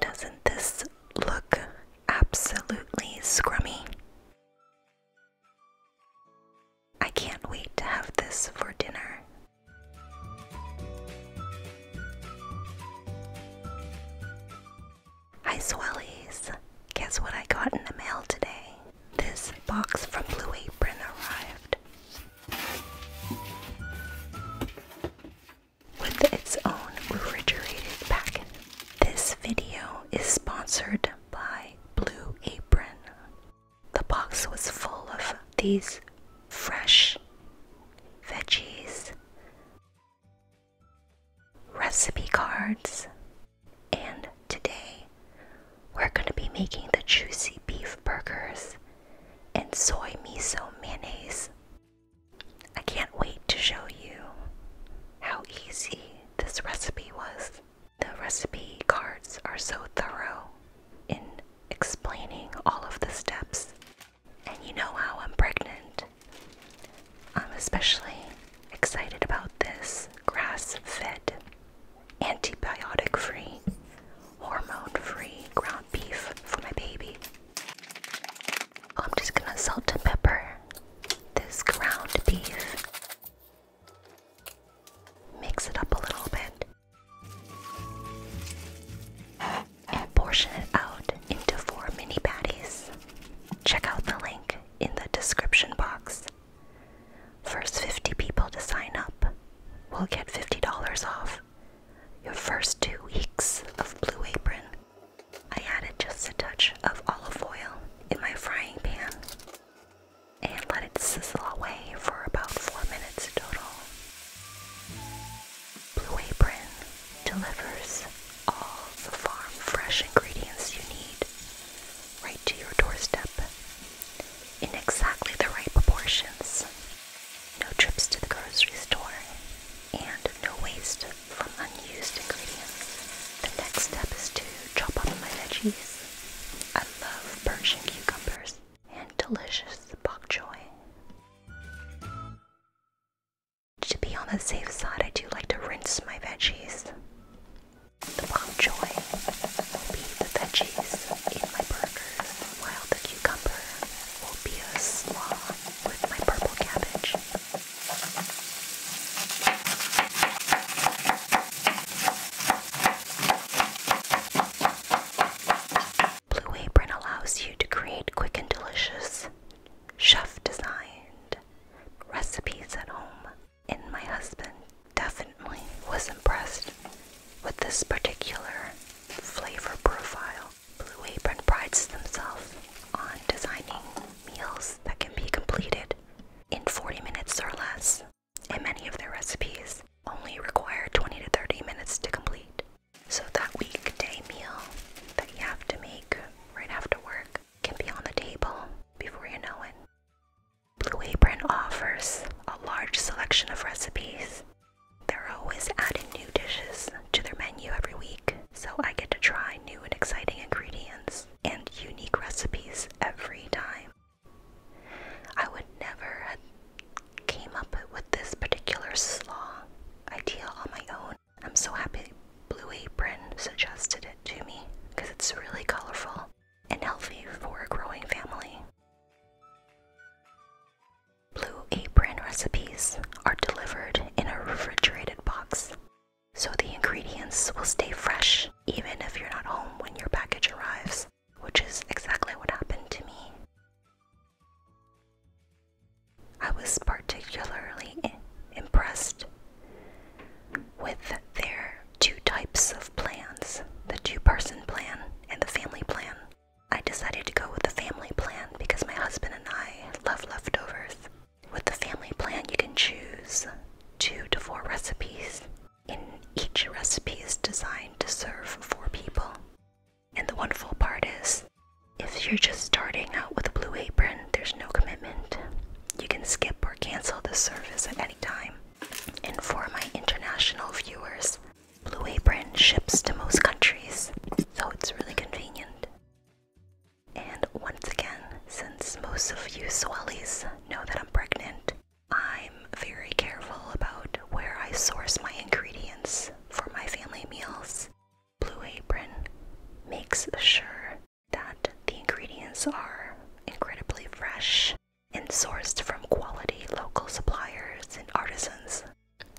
Doesn't this look absolutely scrummy? I can't wait to have this for dinner. Hi, Swellies! Guess what I got in the mail today? This box from Blue Apron arrived with its own refrigerated packet. This video is sponsored by Blue Apron. The box was full of these fresh veggies, recipe cards, and today, we're going to be making the juicy beef burgers and soy miso mayonnaise. I can't wait to show you how easy this recipe was. The recipe cards are so thorough in explaining all of the steps. And you know how I'm pregnant. I'm especially excited about this grass fed antibiotic free, hormone free ground beef for my baby. I'm just gonna salt and pepper this ground beef. Mix it up a little bit and portion it out into four mini patties. Check out the link in the description box First 50 people to sign up will get $50 off your first two weeks of Blue Apron. I added just a touch of olive oil in my frying pan and let it sizzle away for about 4 minutes total. Blue Apron delivers all the farm fresh ingredients you need right to your doorstep in exactly the right proportions. No trips to the grocery store and no waste from unused ingredients. The next step is to chop up my veggies. I love Persian cucumbers and delicious bok choy. To be on the safe side, I do like to rinse my veggies. The bok choy will be the veggies in my burgers, while the cucumber will be a slaw with my purple cabbage. Blue Apron allows you to create quick and delicious, chef designed recipes at home and my husband definitely was impressed with this particular flavor profile. Blue Apron prides themselves on designing meals that can be completed in 40 minutes or less, and many of their recipes only require 20 to 30 minutes to complete. So that weekday meal that you have to make right after work can be on the table before you know it. Blue Apron offers a large selection of recipes. They're always adding new dishes to their menu every week, so I get to try new and exciting ingredients and unique recipes every time. I would never have came up with this particular slaw idea on my own. I'm so happy Blue Apron suggested it to me because it's really colorful and healthy for a growing family. Blue Apron recipes are delivered in a refrigerated box, so the ingredients will stay fresh even if you're not home when your package arrives, which is exactly what happened to me. I was particularly impressed with their two types of plans the two person plan and the family plan. I decided to go with the family plan because my husband and I love leftovers. With the family plan, you can choose two to four recipes, and each recipe is designed to serve four people. And the wonderful part is, if you're just starting out with a blue apron, there's no commitment. You can skip or cancel the service at any time. And for my international viewers, Blue Apron ships to most countries, so it's really convenient. And once again, since most of you Swellies know that I'm pregnant, I'm very careful about where I source my ingredients for my family meals. Blue Apron makes sure that the ingredients are incredibly fresh and sourced from quality local suppliers and artisans.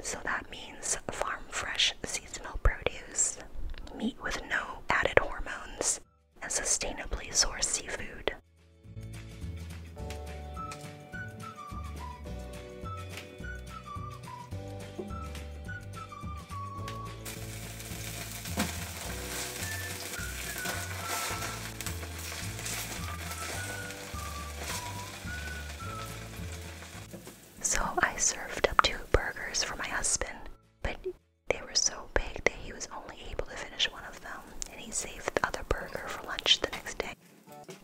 So that means farm fresh seasonal produce, meat with no added hormones, and sustainably sourced seafood. So I served up two burgers for my husband, but they were so big that he was only able to finish one of them, and he saved the other burger for lunch the next day.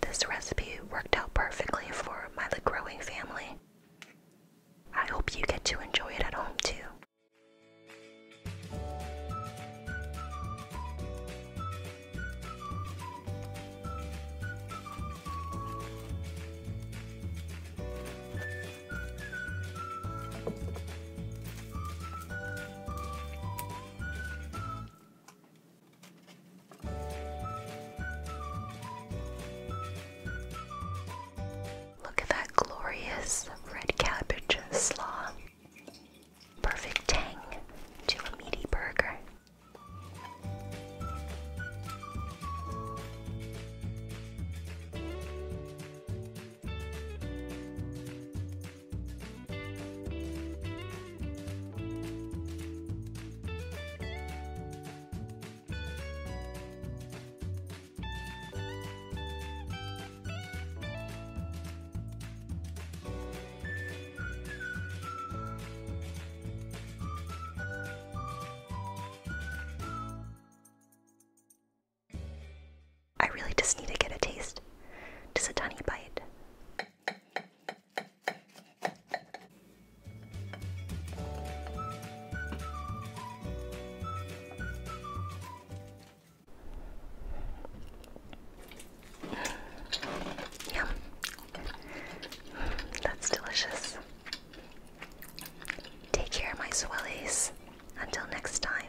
This recipe worked out perfectly for my growing family. I hope you get to enjoy it at home too. Look at that glorious red cabbage slaw. Perfect tang to a meaty burger. I really just need to get a taste, just a tiny bite. Yum. That's delicious. Take care, my swellies. Until next time.